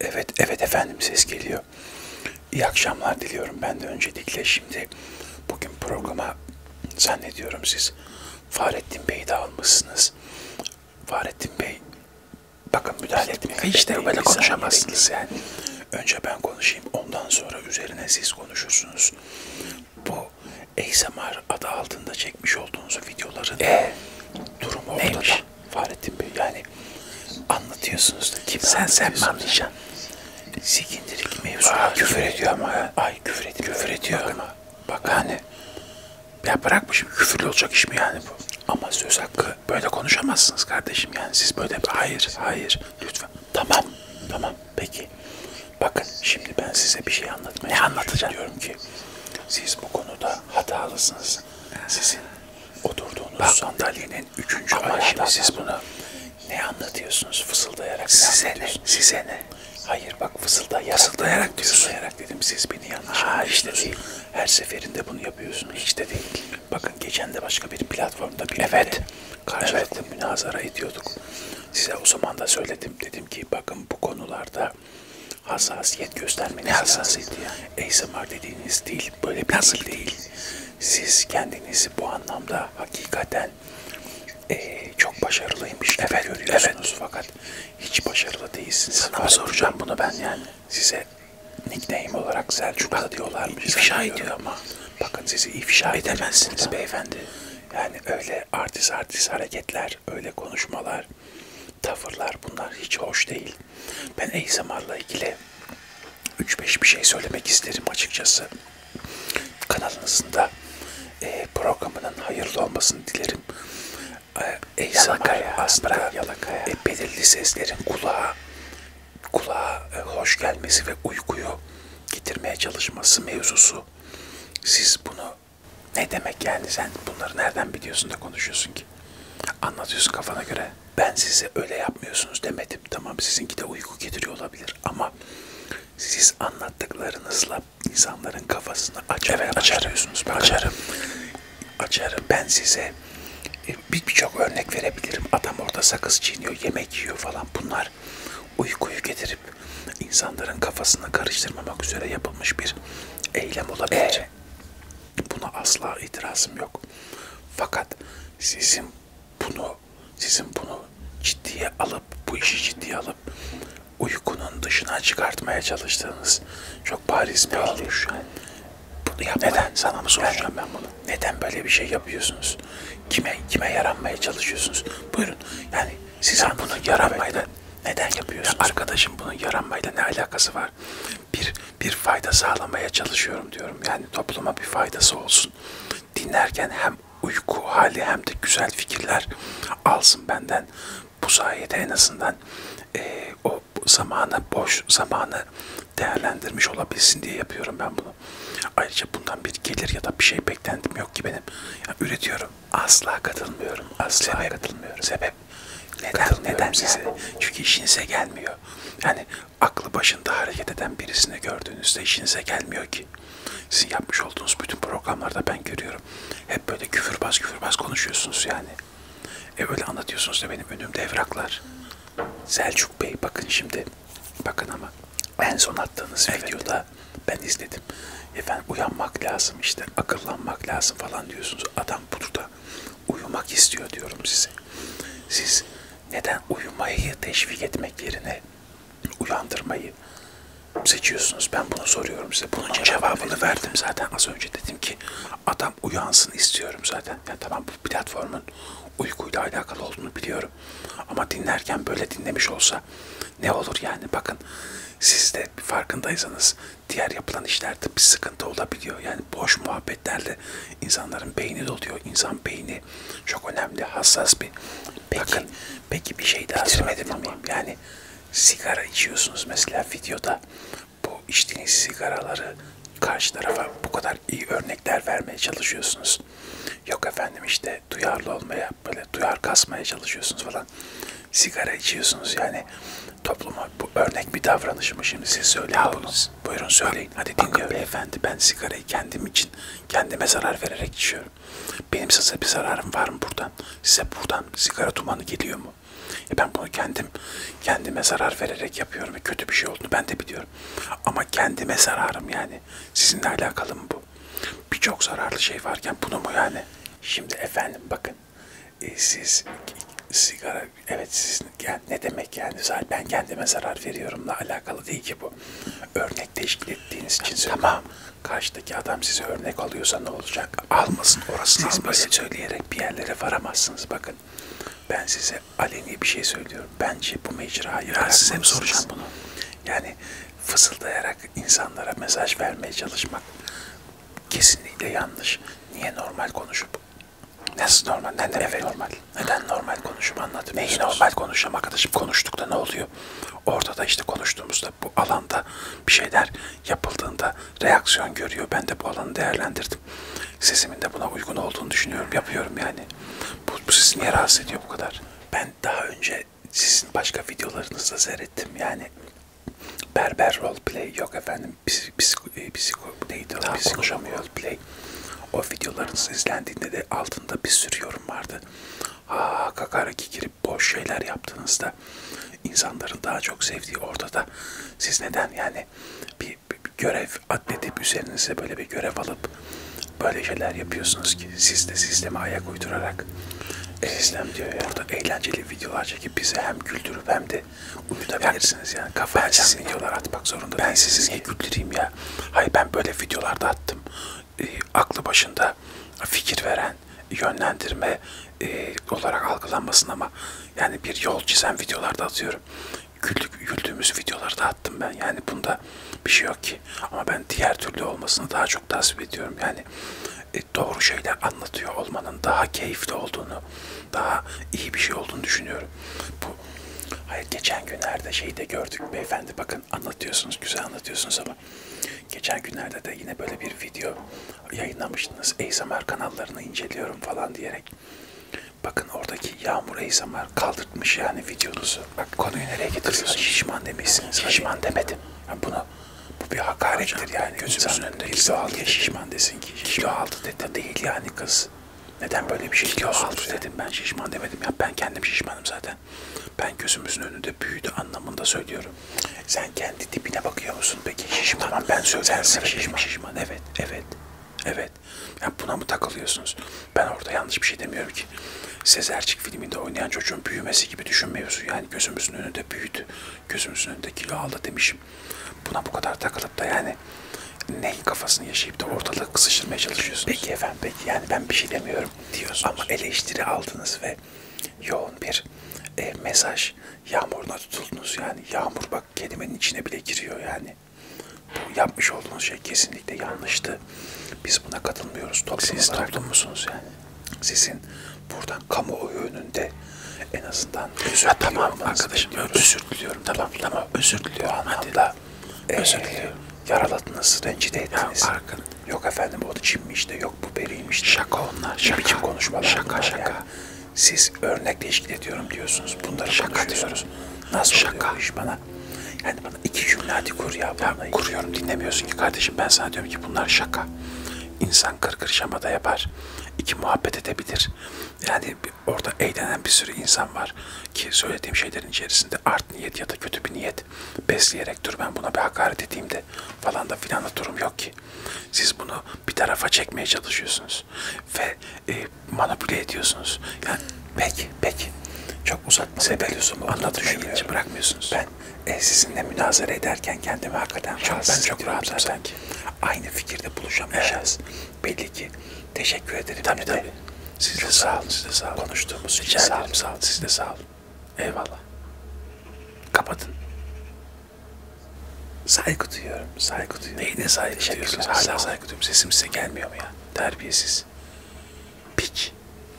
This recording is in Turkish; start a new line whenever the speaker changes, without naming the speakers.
Evet, evet efendim ses geliyor. İyi akşamlar diliyorum ben de öncelikle. Şimdi bugün programa zannediyorum siz Fahrettin Bey'i de almışsınız. Fahrettin Bey, bakın müdahale etmek hiç de böyle konuşamazsınız yani. Önce ben konuşayım, ondan sonra üzerine siz konuşursunuz. Bu ASMR adı altında çekmiş olduğunuz videoların ee, durumu ortada. Neymiş? Fahrettin Bey yani anlatıyorsunuz da kim Sen sen mi anlayacaksın? Sikindirik mevzuna küfür ediyor ama. ya. Ay küfür ediyor. Küfür ediyor ama. Bak yani. Ya bırakmışım küfürlü olacak iş mi yani bu? Ama söz hakkı böyle konuşamazsınız kardeşim yani siz böyle hayır hayır lütfen. Tamam tamam peki. Bakın şimdi ben size bir şey anlatmaya Ne anlatacaksın? Diyorum ki siz bu konuda hatalısınız. Siz sizin oturduğunuz Bak, sandalyenin üçüncü ama şimdi siz bunu ne anlatıyorsunuz fısıldayarak? Size ne? Size ne? Hayır bak fısıldayarak. Fısıldayarak diyorsun. Fısıldayarak dedim siz beni yanlış ha, işte değil. Her seferinde bunu yapıyorsunuz. Hiç de değil. Bakın geçen de başka bir platformda bir evet. karşılıklı evet. münazara ediyorduk. Size o zaman da söyledim. Dedim ki bakın bu konularda konuda hassasiyet göstermeniz ne hassasiyeti lazım. Yani? ASMR dediğiniz değil, böyle bir Nasıl değil. değil. Siz kendinizi bu anlamda hakikaten e, çok başarılıymış gibi evet, görüyorsunuz evet. fakat hiç başarılı değilsiniz. Sana Fark soracağım bunu ben yani. Size nickname olarak Selçuk'a diyorlarmış. İfşa ediyor ama. Bakın sizi ifşa edemezsiniz beyefendi. Yani öyle artist artist hareketler, öyle konuşmalar tavırlar bunlar hiç hoş değil. Ben ASMR'la ilgili 3-5 bir şey söylemek isterim açıkçası. Kanalınızın da e, programının hayırlı olmasını dilerim. E, ASMR aslında ya, e, belirli seslerin kulağa kulağa e, hoş gelmesi ve uykuyu getirmeye çalışması mevzusu. Siz bunu ne demek yani sen bunları nereden biliyorsun da konuşuyorsun ki? Anlatıyorsun kafana göre. Ben size öyle yapmıyorsunuz demedim. Tamam sizinki de uyku getiriyor olabilir ama siz anlattıklarınızla insanların kafasını açar. Evet açarıyorsunuz. Ben açarım. Açarım. Ben size e, birçok bir örnek verebilirim. Adam orada sakız çiğniyor, yemek yiyor falan. Bunlar uykuyu getirip insanların kafasını karıştırmamak üzere yapılmış bir eylem olabilir şey. Buna asla itirazım yok. Fakat sizin bunu sizin bunu ciddiye alıp bu işi ciddiye alıp uykunun dışına çıkartmaya çalıştığınız çok bariz bir oluş. Bunu yapmayın. Neden? Sana mı soracağım ben bunu? Neden böyle bir şey yapıyorsunuz? Kime kime yaranmaya çalışıyorsunuz? Buyurun. Yani siz bunu yaramayla neden yapıyorsun? Arkadaşım bunun yaranmayla ne alakası var? Bir bir fayda sağlamaya çalışıyorum diyorum. Yani topluma bir faydası olsun. Dinlerken hem uyku hali hem de güzel fikirler alsın benden. Bu sayede en azından e, o zamanı, boş zamanı değerlendirmiş olabilsin diye yapıyorum ben bunu. Ayrıca bundan bir gelir ya da bir şey beklentim yok ki benim. Yani üretiyorum. Asla katılmıyorum. Asla Sebep, katılmıyorum. Sebep neden? Neden size? Yani? Çünkü işinize gelmiyor. Yani aklı başında hareket eden birisini gördüğünüzde işinize gelmiyor ki. Sizin yapmış olduğunuz bütün programlarda ben görüyorum. Hep böyle küfürbaz küfürbaz konuşuyorsunuz yani. E öyle anlatıyorsunuz da benim önümde evraklar. Selçuk Bey bakın şimdi. Bakın ama en son attığınız evet. videoda ben izledim. Efendim uyanmak lazım işte akıllanmak lazım falan diyorsunuz. Adam burada uyumak istiyor diyorum size. Siz neden uyumayı teşvik etmek yerine uyandırmayı seçiyorsunuz? Ben bunu soruyorum size. Bunun Anladım, cevabını evet. verdim zaten az önce dedim ki adam uyansın istiyorum zaten. Ya tamam bu platformun uykuyla alakalı olduğunu biliyorum. Ama dinlerken böyle dinlemiş olsa ne olur yani bakın siz de farkındaysanız diğer yapılan işlerde bir sıkıntı olabiliyor. Yani boş muhabbetlerle insanların beyni doluyor. İnsan beyni çok önemli, hassas bir. Peki, Bakın, peki bir şey daha bitirmedim ama. Miyim? Yani sigara içiyorsunuz mesela videoda. Bu içtiğiniz sigaraları karşı tarafa bu kadar iyi örnekler vermeye çalışıyorsunuz. Yok efendim işte duyarlı olmaya, böyle duyar kasmaya çalışıyorsunuz falan sigara içiyorsunuz yani topluma bu örnek bir davranış mı şimdi siz söyleyin ya bunu. Buyurun söyleyin. Bak, Hadi dinliyorum. Bakın beyefendi ben sigarayı kendim için kendime zarar vererek içiyorum. Benim size bir zararım var mı buradan? Size buradan sigara dumanı geliyor mu? E ben bunu kendim kendime zarar vererek yapıyorum ve kötü bir şey olduğunu ben de biliyorum. Ama kendime zararım yani. Sizinle alakalı mı bu? Birçok zararlı şey varken bunu mu yani? Şimdi efendim bakın e, siz sigara evet siz yani ne demek yani zaten ben kendime zarar veriyorumla alakalı değil ki bu. Örnek teşkil ettiğiniz için söylüyorum. Tamam. Karşıdaki adam size örnek alıyorsa ne olacak? Almasın orası Siz böyle söyleyerek bir yerlere varamazsınız bakın. Ben size aleni bir şey söylüyorum. Bence bu mecrayı ben size mi soracağım bunu? Yani fısıldayarak insanlara mesaj vermeye çalışmak kesinlikle yanlış. Niye normal konuşup Nasıl normal? Neden evet. normal? Neden normal konuşup anlatmıyorsunuz? Neyi normal konuşacağım arkadaşım? Konuştukta ne oluyor? Orada da işte konuştuğumuzda bu alanda bir şeyler yapıldığında reaksiyon görüyor. Ben de bu alanı değerlendirdim. Sesimin de buna uygun olduğunu düşünüyorum. Yapıyorum yani. Bu, bu sizi niye rahatsız ediyor bu kadar? Ben daha önce de sizin başka videolarınızda seyrettim. Yani berber roleplay yok efendim. Psiko, e, psiko neydi o? Psikolojim roleplay. O videolarınız izlendiğinde de altında bir sürü yorum vardı. Ha kakaraki girip boş şeyler yaptığınızda insanların daha çok sevdiği ortada. Siz neden yani bir, bir görev atletip üzerinize böyle bir görev alıp böyle şeyler yapıyorsunuz ki siz de sisteme ayak uydurarak Eslem diyor ya. Burada eğlenceli videolar çekip bizi hem güldürüp hem de uyutabilirsiniz yani. Kafa ben açan videolar atmak zorunda Ben sizi niye güldüreyim ya? Hayır ben böyle videolarda attım. E, aklı başında fikir veren, yönlendirme e, olarak algılanmasın ama yani bir yol çizen videolarda atıyorum. Güldük, güldüğümüz videolarda attım ben. Yani bunda bir şey yok ki. Ama ben diğer türlü olmasını daha çok tasvip ediyorum. Yani e, doğru şeyler anlatıyor olmanın daha keyifli olduğunu, daha iyi bir şey olduğunu düşünüyorum. Bu Hayır geçen günlerde şeyi de gördük beyefendi bakın anlatıyorsunuz güzel anlatıyorsunuz ama geçen günlerde de yine böyle bir video yayınlamıştınız. ASMR kanallarını inceliyorum falan diyerek. Bakın oradaki Yağmur ASMR kaldırtmış yani videonuzu. Bak konuyu nereye getiriyorsun? Şişman demişsiniz. Şişman demedim. Yani bunu bu bir hakarettir Hocam, yani. Gözümüzün önünde kilo aldı diye şişman desin ki. Kilo aldı dedi değil yani kız. Neden böyle bir şey kilo aldı yani. dedim ben şişman demedim ya ben kendim şişmanım zaten. Ben gözümüzün önünde büyüdü anlamında söylüyorum. Sen kendi tipine bakıyor musun peki şişman? Tamam, ben söylüyorum şişman. şişman. Şişman evet evet evet. Yani buna mı takılıyorsunuz? Ben orada yanlış bir şey demiyorum ki. Sezercik filminde oynayan çocuğun büyümesi gibi düşün mevzu. Yani gözümüzün önünde büyüdü. Gözümüzün önünde kilo aldı demişim. Buna bu kadar takılıp da yani neyin kafasını yaşayıp da ortalığı kısıştırmaya çalışıyorsunuz. Peki efendim peki yani ben bir şey demiyorum diyorsunuz. Ama eleştiri aldınız ve yoğun bir e, mesaj yağmuruna tutuldunuz yani. Yağmur bak kelimenin içine bile giriyor yani. Bu yapmış olduğunuz şey kesinlikle yanlıştı. Biz buna katılmıyoruz. Toplum Siz olarak. toplum musunuz yani? sizin buradan kamuoyu önünde en azından özür ha, tamam arkadaşım diliyoruz. özür diliyorum tamam tamam özür diliyorum bu anlamda Hadi. özür e, diliyorum yaraladınız rencide ettiniz ya, arkadaş. yok efendim o da Çinmiş de yok bu beriymiş de şaka onlar şaka biçim konuşmalar şaka şaka yani. siz örnekle ilişkili ediyorum diyorsunuz bunları şaka diyoruz nasıl şaka. oluyor iş bana yani İki cümle hadi kur ya. ya kuruyorum dinlemiyorsun ki kardeşim. Ben sana diyorum ki bunlar şaka. İnsan kır kır şamada yapar. İki muhabbet edebilir. Yani orada eğlenen bir sürü insan var ki söylediğim şeylerin içerisinde art niyet ya da kötü bir niyet besleyerek dur ben buna bir hakaret edeyim de falan da filan da durum yok ki. Siz bunu bir tarafa çekmeye çalışıyorsunuz ve e, manipüle ediyorsunuz. Yani peki peki çok uzak uzatmasını sebeliyorsun bu anlatmaya geçip bırakmıyorsunuz. Ben e, sizinle münazara ederken kendimi hakikaten çok, ben çok rahatım sanki. Aynı fikirde buluşamayacağız. Evet. Belli ki. Teşekkür ederim. Tabii tabii. Siz çok de sağ olun. Siz de sağ olun. Konuştuğumuz için sağ olun. Sağ olun. Siz de sağ olun. Eyvallah. Kapatın. Saygı duyuyorum. Saygı duyuyorum. Neyine saygı duyuyorsunuz? Hala saygı duyuyorum. Sesim size gelmiyor mu ya? Terbiyesiz. Piç.